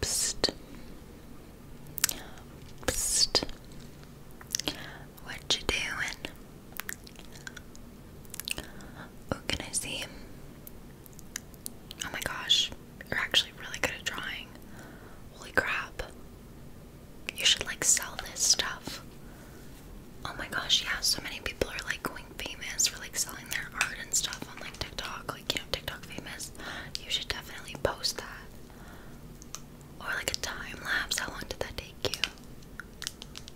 Psst. Psst. What you doing? Oh, can I see Oh my gosh, you're actually really good at drawing. Holy crap. You should like sell this stuff. Oh my gosh, yeah, so many people are like going famous for like selling their art and stuff on like TikTok, like you know, TikTok famous. You should definitely post that. Or like a time lapse. How long did that take you?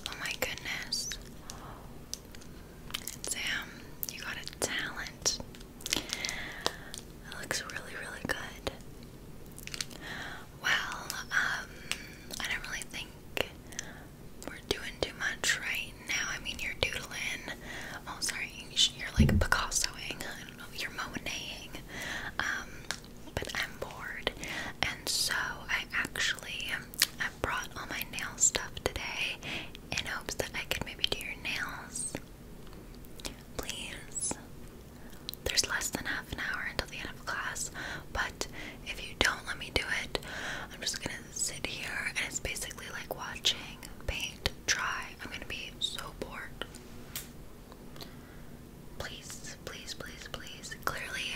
Oh my goodness. Sam, you got a talent. It looks really, really good. Well, um, I don't really think we're doing too much right now. I mean, you're doodling. Oh, sorry, you're like Picassoing. I don't know, you're Monetting. Um, but I'm bored, and so I actually I brought all my nail stuff today in hopes that I could maybe do your nails. Please. There's less than half an hour until the end of class, but if you don't let me do it, I'm just gonna sit here and it's basically like watching paint dry. I'm gonna be so bored. Please, please, please, please. Clearly,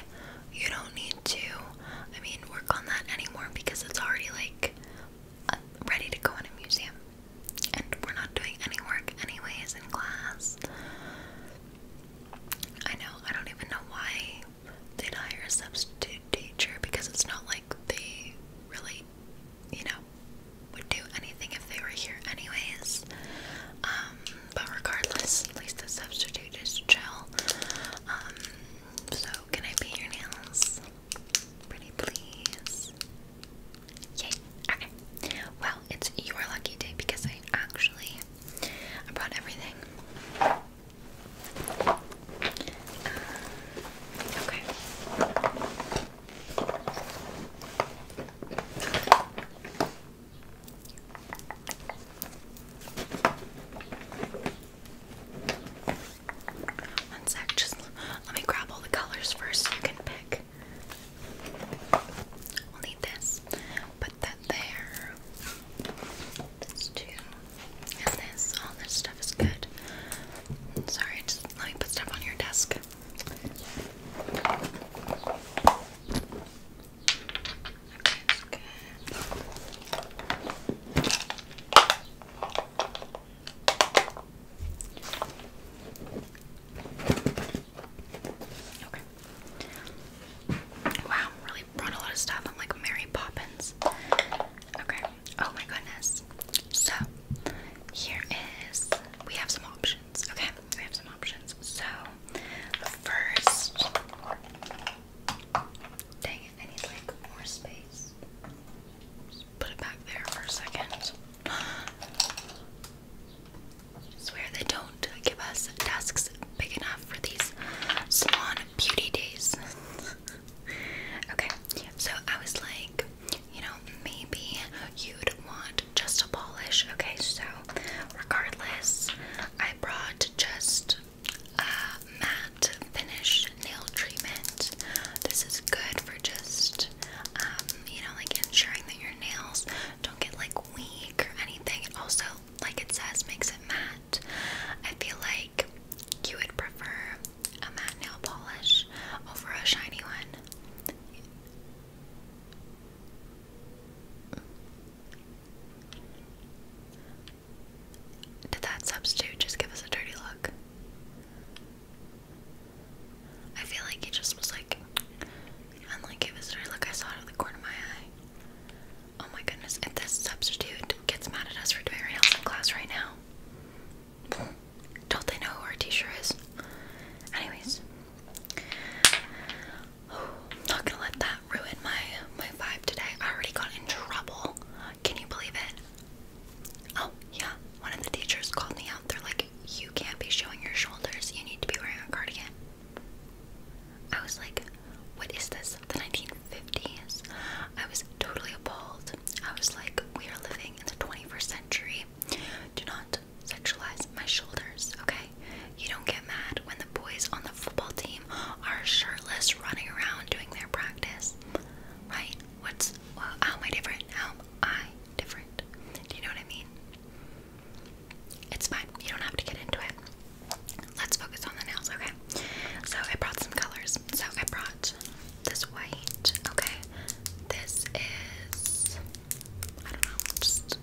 you don't need to, I mean, work on that anymore because it's already like ready to go in a museum. And we're not doing any work, anyways, in class. I know, I don't even know why they'd hire a substitute teacher because it's not like they really, you know, would do anything if they were here, anyways. Um, but regardless, at least the substitute is chill. Um, so, can I paint your nails? Pretty please. Yay. Okay. Well, it's your lucky day because I actually brought everything. Uh, okay. One sec, just let me grab all the colors first you can pick. We'll need this. Put that there. This too. And this. All this stuff is good. Sorry, just let me put stuff on your desk. Okay, good. Okay. Wow, really brought a lot of stuff. I'm like Mary Poppins. Okay. Oh my goodness. So, here is we have some options. Okay, we have some options. So, first, dang it, I need like More space put it back there for a second. I swear they don't give us desks big enough for these salon beauty days. okay, so I was like, you know, maybe you'd want just a polish. Okay, so regardless, I brought just matte finish nail treatment. This is good for just, um, you know, like ensuring that your nails don't get like weak or anything. It also, like it says, makes it matte. I feel like you would prefer a matte nail polish over a shiny one. Did that substitute just give us a dirty look? I feel like he just was like, and like it was, like I saw it out the corner of my eye. Oh my goodness, if this substitute gets mad at us for doing nails in class right now, don't they know who our teacher is? Anyways, not gonna let that ruin my my vibe today. I already got in trouble can you believe it? Oh, yeah. One of the teachers called me out. They're like, You can't be showing your shoulders. You need to be wearing a cardigan. I was like, What is this? The 1950s? I was totally appalled. I was like, We are living in the 21st century. Do not sexualize my shoulders, okay? You don't get mad when the boys on the football team are shirtless running around doing their practice, right? What's well, how am I different? How am I different? Do you know what I mean? It's fine. You don't have to get into it. Let's focus on the nails, okay? So I brought some colors. So I brought this white, okay? This is I don't know, just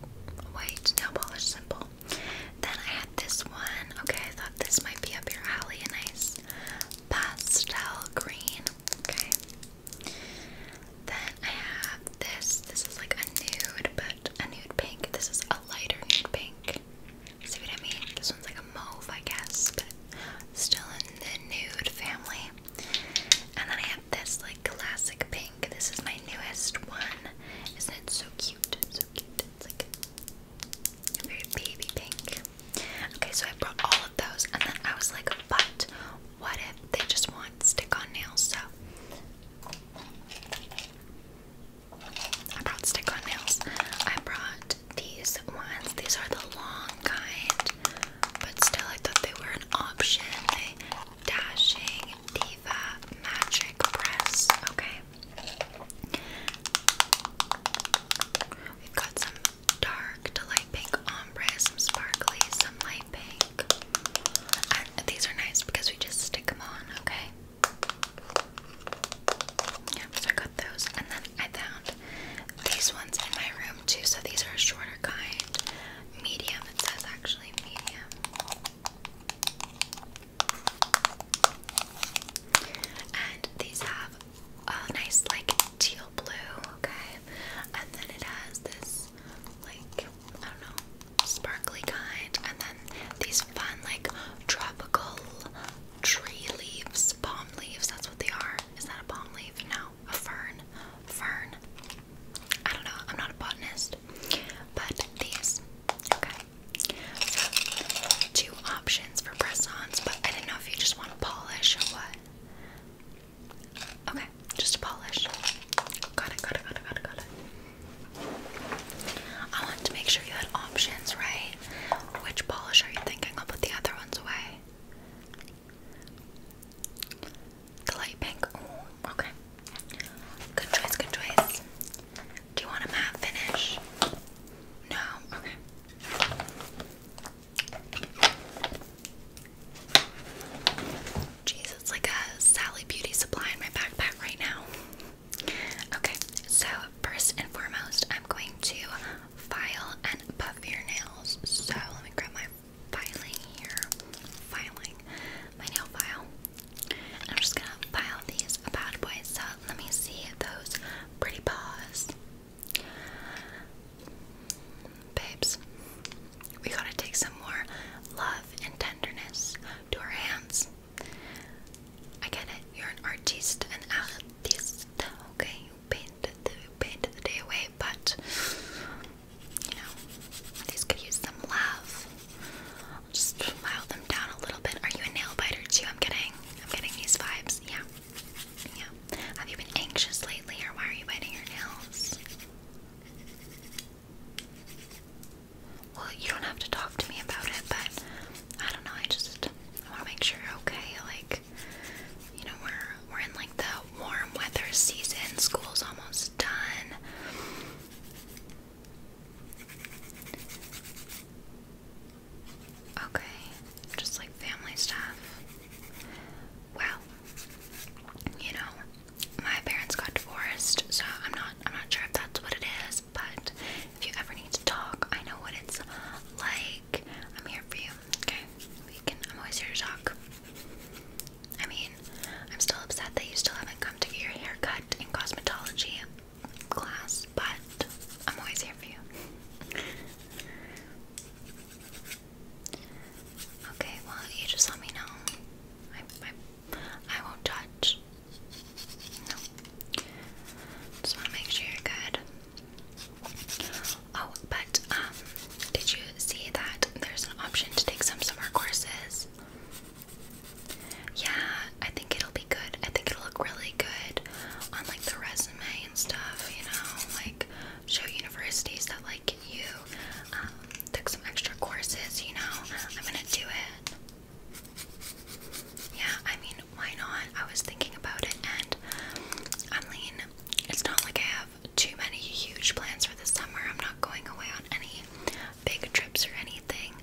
white nail polish simple. Then I had this one. Okay, I thought this might be up your alley, and nice pastel green. Okay. Then I have this. This is like a nude, but a nude pink. This is a lighter nude pink. See what I mean? This one's like a mauve, I guess, but still in the nude family. And then I have this like classic pink. This is my newest one. Isn't it so cute? So cute. It's like very baby pink. Okay, so I brought all of those, and then I was like, but what if they just want stick on nails? So I brought stick on nails. I brought these ones. These are the long kind, but still, I thought they were an option. dashing diva magic press. Okay. We've got some dark to light pink ombre, some sparkly, some light pink. these are nice because we just stick them on, okay? Yeah, so I got those. And then I found these ones in my room too. So these are a shorter kind. Medium, it says actually medium. And these have a nice like teal blue, okay? And then it has this like, I don't know, sparkly kind, and then these fun like tropical tree leaves, palm leaves, that's what they are. Is that a palm leaf? No, a fern. Fern. I don't know, I'm not a botanist. But these. Okay. So two options for press-ons, but I didn't know if you just want polish or what? Okay, just a polish. Got it, got it, got it, got it, got it. I wanted to make sure you had options, right? Which polish are you thinking? I'll put the other ones away. The light pink. okay. Good choice, good choice. Do you want a matte finish? No? Okay. Jeez, it's like a Sally Beauty supply in my backpack right now. Okay, so first and foremost, I'm going to file and buff your nails. So let me grab my filing here. Filing my nail file. And I'm just gonna file these bad boys. So let me see those pretty paws. Babes, we gotta take some more love and tenderness to our hands. I get it, you're an artist, an artist, okay? You painted you painted the day away, but you know, these could use some love. I'll just file them down a little bit. Are you a nail biter too? I'm getting, I'm getting these vibes, yeah. Yeah. Have you been anxious lately or why are you biting your nails? Well, you don't have to talk to me about it, but I don't know, I just I wanna make sure you're okay. Like you know, we're we're in like the warm weather season, school's almost done. Okay, just like family stuff. Well, you know, my parents got divorced, so I'm not I'm not sure if that's what it is, but if you ever need to talk, I know what it's like. I'm here for you. Okay? We can I'm always here to talk. I mean, I'm still upset that you still haven't come to get your haircut in cosmetology class, but I'm always here for you. Okay, well, you just let me know. I, I, won't touch. No. Just want to make sure you're good. Oh, but, um, did you see that there's an option to take some summer courses? Yeah, I think it'll be be good. I think it'll look really good on like the resume and stuff, you know, like show universities that like you um, took some extra courses, you know. I'm gonna do it. Yeah, I mean, why not? I was thinking about it, and I mean, it's not like I have too many huge plans for the summer. I'm not going away on any big trips or anything.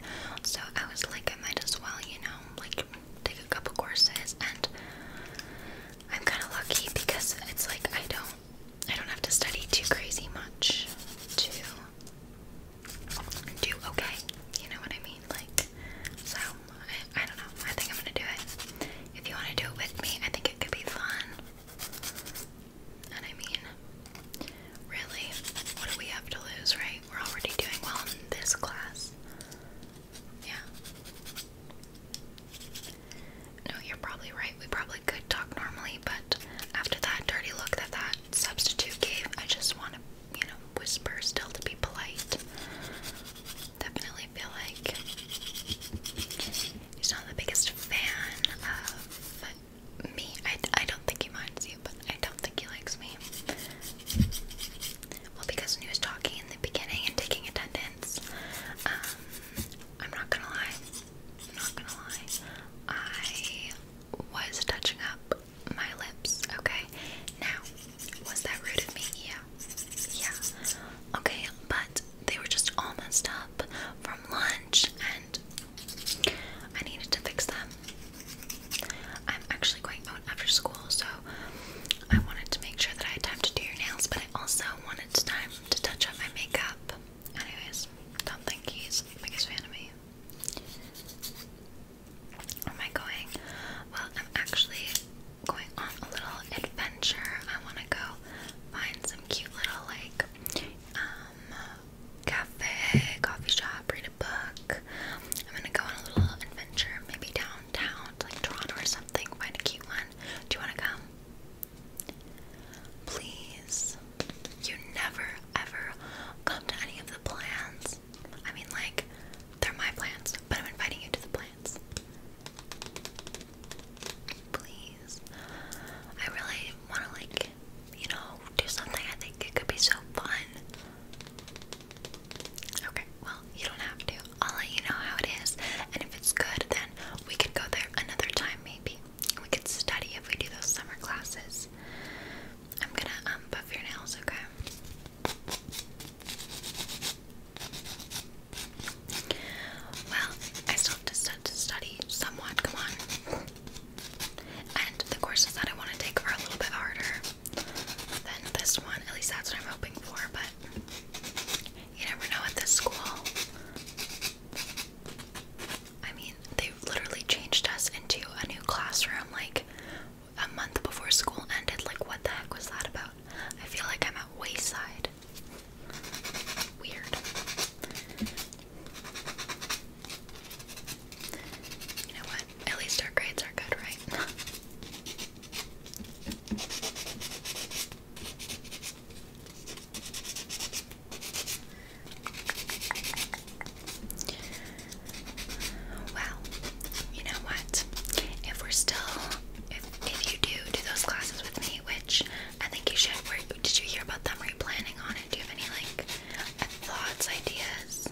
So I was like, I might as well, you know, like take a couple courses and I'm kind of lucky because it's like I don't I don't have to study too crazy much to do okay. You know what I mean? Like so I, I don't know. I think I'm going to do it. If you want to do it with me, I think it could be fun. And I mean, really, what do we have to lose, right? We're already doing well in this class. Yeah. No, you're probably right. We probably could talk normally, but after that dirty look that that substitute gave, I just want to, you know, whisper still to be polite. Definitely feel like he's not the biggest fan of me. I, I don't think he minds you, but I don't think he likes me. Well, because when he was talking in the beginning and taking attendance, um, I'm not gonna lie, I'm not gonna lie, I was touching up my lips, okay? Now, was that rude of me? Yeah. Yeah. Okay, but they were just all messed up from lunch and I needed to fix them. I'm actually going, oh after school, so I wanted to make sure that I had time to do your nails, but I also wanted time to touch up my makeup. Anyways, don't think he's the biggest fan of me. Where am I going? Well, I'm actually going on a little adventure. I want to go find some cute little, like, um, cafe, coffee shop, read a book. I'm gonna go on a little adventure, maybe downtown, like Toronto or something, find a cute one. Do you want to come? Please. You never ever come to any of the plans. I mean, like, they're my plans, but I'm inviting you to the plans. Please. I really want to, like, you know, do something. I think it could be so fun. Okay, well, you don't have to. I'll let you know how it is. And if it's good, then we could go there another time, maybe. We could study if we do those summer classes. I'm gonna um, buff your nails, okay? Well, I still have to, study somewhat, come on. And the courses that I want to take are a little bit harder than this one. At least that's what I'm hoping for, but you never know at this school. I mean, they literally changed us into a new classroom like a month before school ended. Like, what the heck was that about? I feel like I'm at Wayside. Weird. You know what? At least our grades are good, right? Well, you know what? If we're still, if, if you do do those classes with me, which I think you should, did you hear about them? Are you planning on it? Do you have any like thoughts, ideas?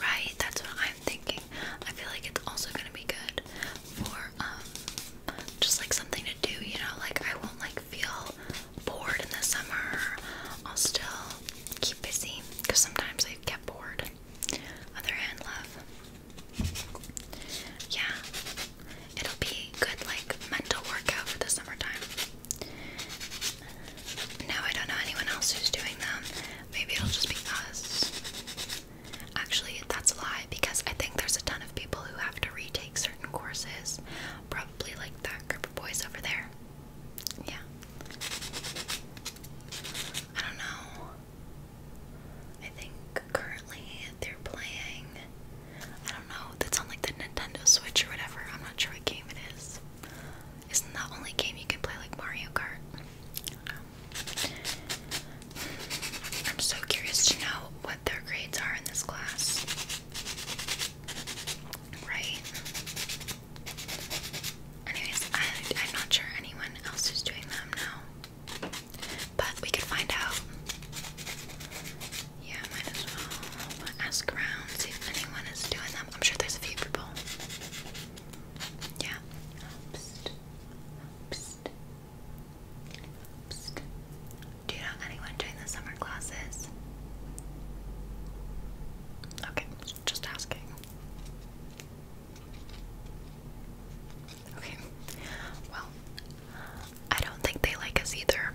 Right, that's what I'm thinking. I feel like it's also gonna be good for um, just like something to do, you know, like I won't like feel bored in the summer. I'll still keep busy because sometimes I get bored. Other hand love. Yeah. It'll be good like mental workout for the summertime. No, I don't know anyone else who's doing them. Maybe it'll just be us. Actually, that's a lie because I think there's a ton of people who have to retake certain courses. Probably like that group of boys over there. Yeah. I don't know. I think currently they're playing don't know. That's on like the Nintendo Switch or whatever. I'm not sure what game it is. Isn't that only game you can play like Mario Kart? I'm so curious to know what their grades are in this class. Right? Anyways, I'm not sure anyone else is doing them now. But we could find out. Yeah, might as well ask around, see if anyone is doing them. I'm sure there's a few people. Yeah. Psst. Psst. Psst. Do you know anyone doing the summer classes? Okay, just asking. Okay. Well, I don't think they like us either.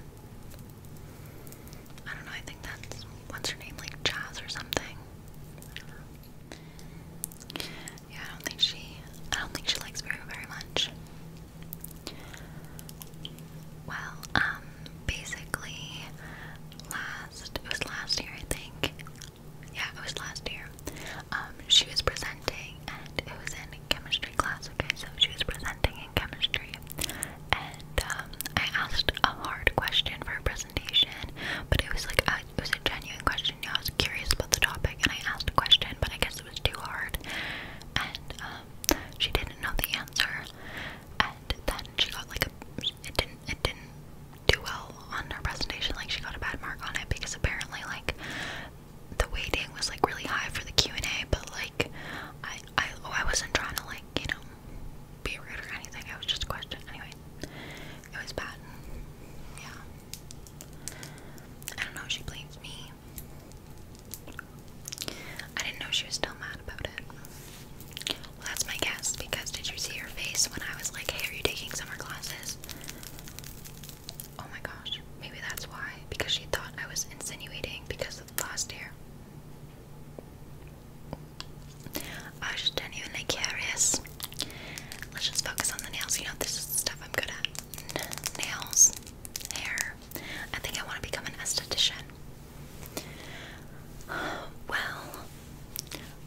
I don't know, I think that's what's her name, like Jazz or something. I don't Yeah, I don't think she I don't think she likes Vera very much. Well, um, basically last it was last year I think. Yeah, it was last year. Um, she was presenting and it was in chemistry class, okay, so she was presenting chemistry, and um, I asked a hard question for a presentation, but it was like a, it was a genuine question. Yeah, I was curious about the topic, and I asked a question, but I guess it was too hard, and um, she didn't know the answer, and then she got like a it didn't it didn't do well on her presentation. Like she got a bad mark on it because apparently like the waiting was like really high for the Q and A, but like I I oh I wasn't trying to like you know, be rude or anything. It was just a question. Anyway, it was bad. Yeah. I don't know, she blames me. I didn't know she was still mad about it. Well, that's my guess because did you see her face when I was like, hey, are you taking summer classes? Oh my gosh, maybe that's why. Because she thought I was insinuating because of last year. I just genuinely curious. Let's just focus on the nails. You know, this is the stuff I'm good at. Nails, hair. I think I want to become an esthetician. Well,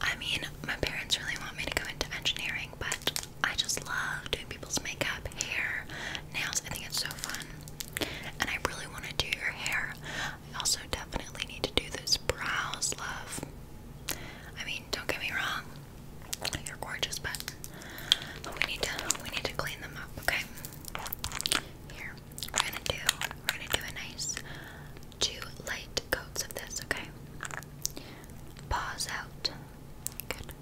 I mean, my parents really want me to go into engineering, but I just love doing people's makeup, hair, nails. I think it's so fun and I really want to do your hair. I also definitely need to do those brows, love. I mean, don't get me wrong, you're gorgeous, but we need to we need to clean them up, okay? Here, we're gonna do we're gonna do a nice two light coats of this, okay? Paws out. Good.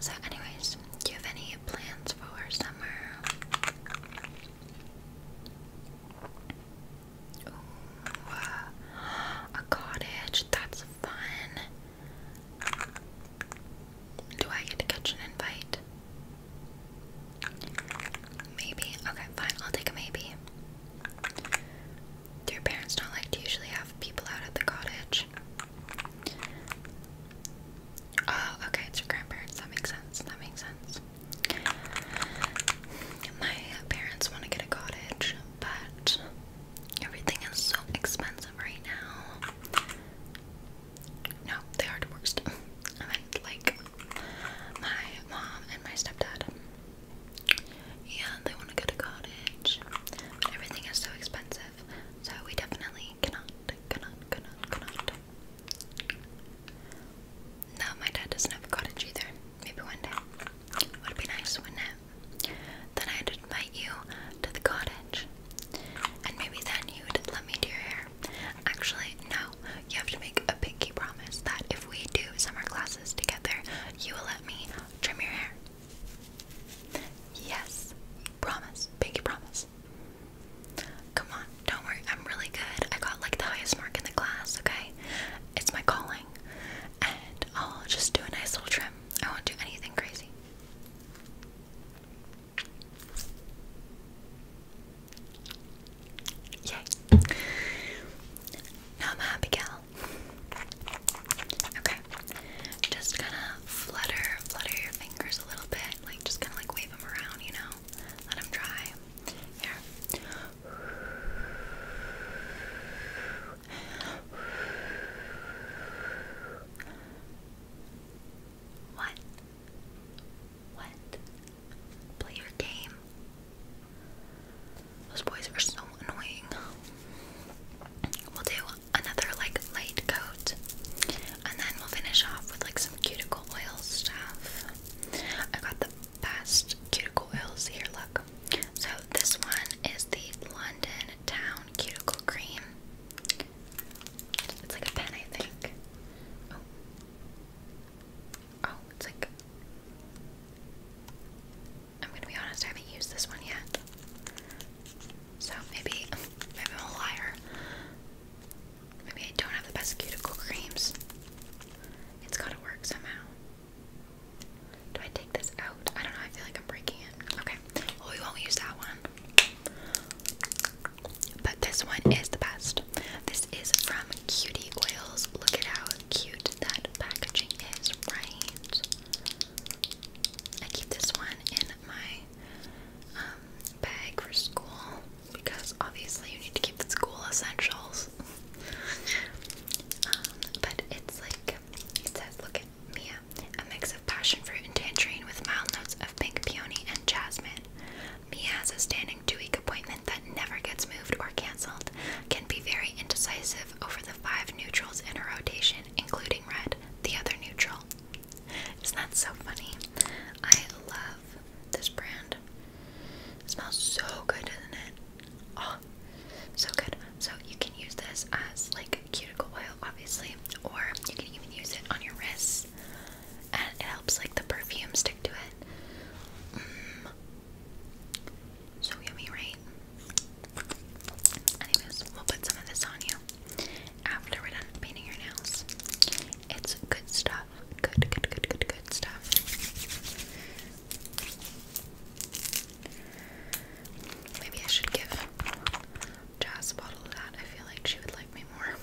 So, anyways, do you have any plans for summer? a cottage. That's fun. Do I get to catch an invite? Maybe. Okay, fine. I'll take a maybe. Do your parents not like to usually have people out at the cottage? Oh, okay, it's your grandparents. That makes sense. That makes sense. My parents want to get a cottage, but everything is so expensive right now. No, they are divorced. I meant like my mom and my stepdad. Yeah, they want to get a cottage, but everything is so expensive so we definitely cannot, cannot, cannot, cannot. No, my dad doesn't have a cottage either. Maybe one day. Would be nice, wouldn't Then I'd invite you to the cottage. And maybe then you would let me do your hair. Actually, no. You have to make a pinky promise that if we do summer classes together, you will let me trim your hair. Yes. Promise. Pinky promise. Come on, don't worry. I'm really good. I got like the highest mark in the class, okay? It's my calling. And I'll just do a nice little trim. I won't do anything crazy. Yay. Now I'm a happy gal. Okay. Just kind of flutter, flutter your fingers a little bit, like just kind of like wave them around, you know, let them dry. Here. What? What? Play your game. Those boys are so annoying. We'll do another like light coat, and then we'll finish off with like some cuticle oil stuff. I got the best cuticle oils here. Look, so this one is the London Town Cuticle Cream. It's like a pen, I think. Oh, oh, it's like. I'm gonna be honest, I haven't used this one yet. So maybe I'm a liar. Maybe I don't have the best cuticle creams. It's gotta work somehow. Do I take this out? I don't know, I feel like I'm breaking it. Okay, well, we won't use that one. But this one is the best. This is from Cutie Oils. Look at how cute that packaging is, right? I keep this one in my um, bag for school because obviously you need to keep the school essentials. Um, but it's like, he says, look at Mia, a mix of passion fruit and tangerine with mild notes of pink peony and jasmine. Mia has a standing two week appointment that never gets moved or cancelled, can be very indecisive over the five neutrals in a rotation, including red, the other neutral. Isn't that so funny? I love this brand. It smells so good, doesn't it? Oh, so good. So you can use this as like cuticle oil, obviously, or you can even use it on your wrists, and it helps like the perfume stick to it. Mm. So yummy, right? Anyways, we'll put some of this on you after we're done painting your nails. It's good stuff. Good, good, good, good, good stuff. Maybe I should give Jazz a bottle of that. I feel like she would like me more.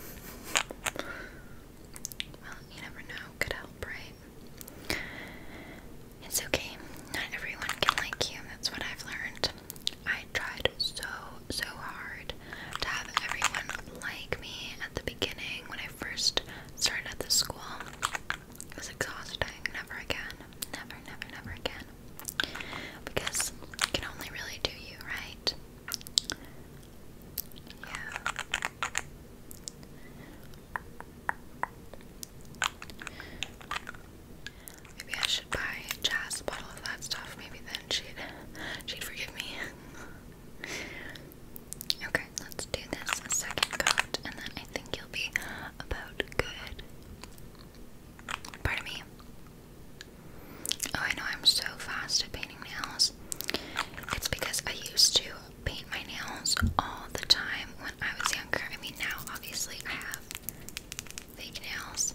Well, you never know. Could help, right? It's okay. Not everyone can like you. That's what I've learned. I tried so, so hard to have everyone like me at the beginning when I first started at the school. It was exhausting. Never again. Never, never, never again. Because you can only really do you, right? Yeah. Maybe I should buy Jazz a bottle of that stuff. Maybe then she'd she'd forgive me. okay, let's do this second coat, and then I think you'll be about good. Pardon me. Oh, I know I'm so fast at painting nails. It's because I used to paint my nails all the time when I was younger. I mean, now obviously I have fake nails,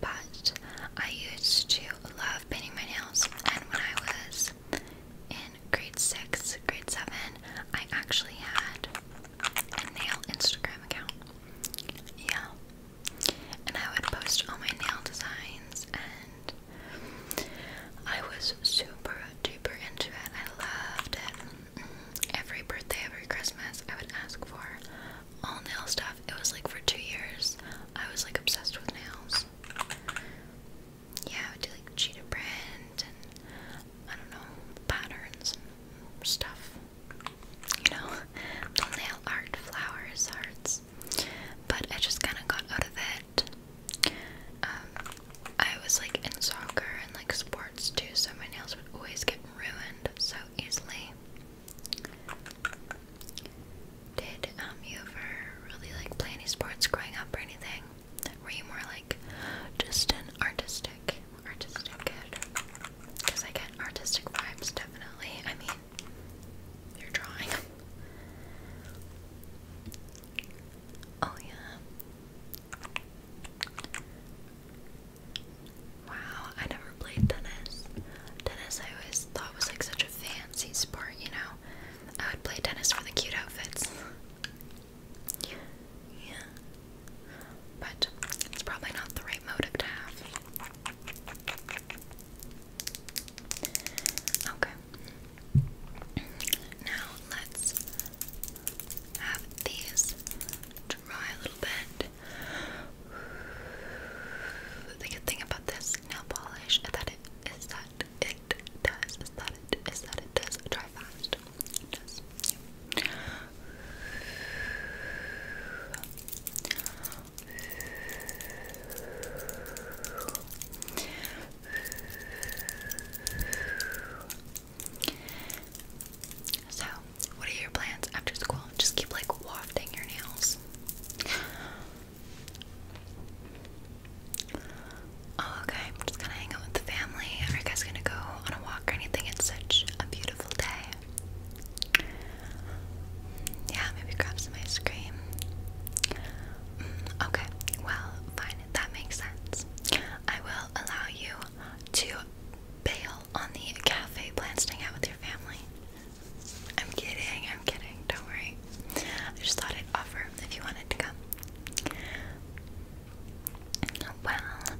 but I used to love painting my nails. And when I was in grade six, grade seven, I actually had a nail Instagram account. Yeah. And I would post all my nail designs, and I was super duper into it. I loved it. Mm-hmm. Every birthday, every Christmas, I would ask for all nail stuff. It was like for two years, I was like obsessed with nails. Yeah, I would do like cheetah print and I don't know patterns stuff. You know, nail art, flowers, hearts. But I just kind of got out of it. Um, I was like in soccer and like sports too, so my nails would always get ruined so easily. Did um you ever really like play any sports growing up or anything? Were you more like just an artistic, artistic kid? Because I get artistic vibes definitely. I mean, you're drawing. Oh yeah. Wow, I never played tennis. Tennis I always thought was like such a fancy sport, you know? I would play tennis for the cute outfits. yeah. But it's probably not the right motive to have. Okay. Now let's have these dry a little bit. The good thing about this nail polish is that it is that it does is that it is that it does dry fast. So what are your plans after school? Just keep like wafting your nails. Oh, okay. I'm just gonna hang out with the family. Are you guys gonna go on a walk or anything? It's such a beautiful day. Yeah, maybe grab some ice cream. Mm, okay, well, fine. That makes sense. I will allow you to bail on the cafe plans to hang out with your family. I'm kidding, I'm kidding, don't worry. I just thought I'd offer if you wanted to come. Well,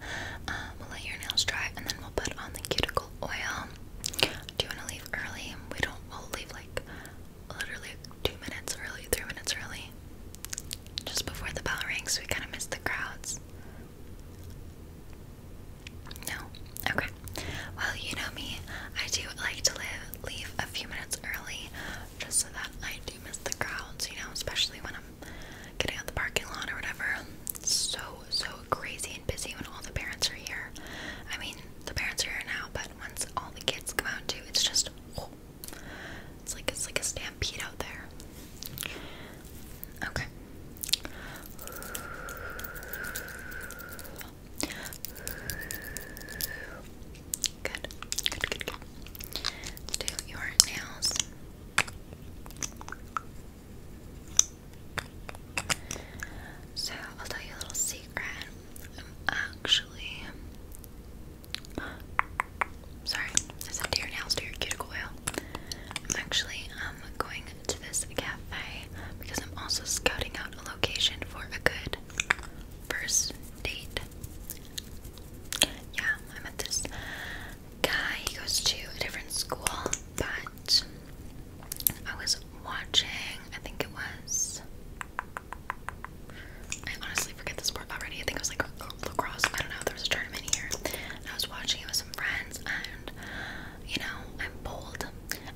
um, we'll let your nails dry and then we'll put on the cuticle oil. Do you want to leave early? We don't, we'll leave like literally two minutes early, three minutes early. Just before the bell rings, so we kind of miss the crowds. No? Okay. Well, you know me. I do like to live, leave a few minutes early just so that I do miss the crowds, you know, especially when I'm getting out the parking lot or whatever. so, so crazy and busy when all the parents are here. I mean, the parents are here now, but once all the kids come out too, it's just, oh, it's like, it's like a stampede out there. Okay. Good. Good, good, do your nails. So, I'll tell you a little secret. I'm actually. Sorry, do your nails, do your cuticle oil. I'm actually um, going to this cafe because I'm also scouting out a location for a good first date. Yeah, I met this guy. He goes to a different school, but I was watching. I think it was. I honestly forget the sport already. I think it was like uh, lacrosse. I don't know. There was a tournament here. And I was watching it with some friends you know, I'm bold.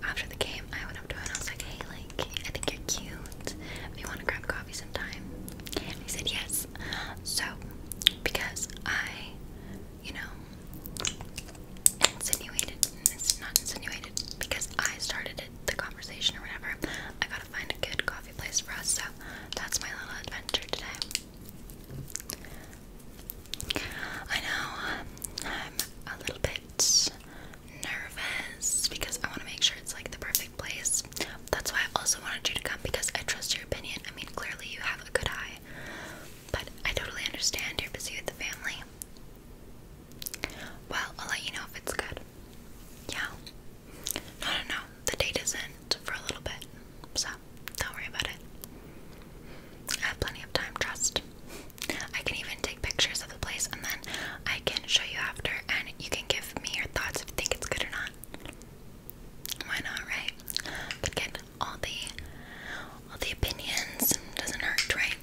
After the game, I went up to him and I was like, hey, like, I think you're cute. Do you want to grab coffee sometime? he said yes. So, because I, you know, insinuated, it's not insinuated, because I started the conversation or whatever, I gotta find a good coffee place for us. So, that's my little adventure today. I know um, I'm a little bit nervous because I want to make sure it's like the perfect place. That's why I also wanted you to come because I trust your opinion. I mean, clearly you have a good eye, but I totally understand you're busy with the family. Well, I'll let you know if it's good. Yeah. No, no, no. The date isn't for a little bit. So don't worry about it. I have plenty of time, trust. I can even take pictures of the place and then I can show you after and you can give me your thoughts if you think it's good or not. Why not, right? get all the all the opinions doesn't hurt, right?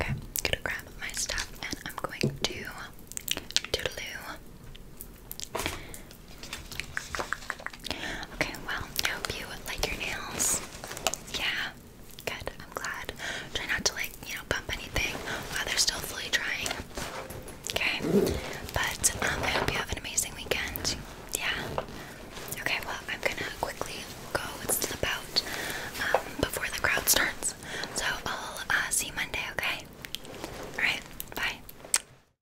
Okay, gonna grab my stuff and I'm going to doodaloo Okay, well, I hope you like your nails. Yeah, good. I'm glad. Try not to like, you know, bump anything while they're still fully drying. Okay, but um, I hope you have an amazing weekend. Yeah. Okay, well, I'm gonna quickly go and slip out um, before the crowd starts. So I'll uh, see you Monday, okay? Alright, bye.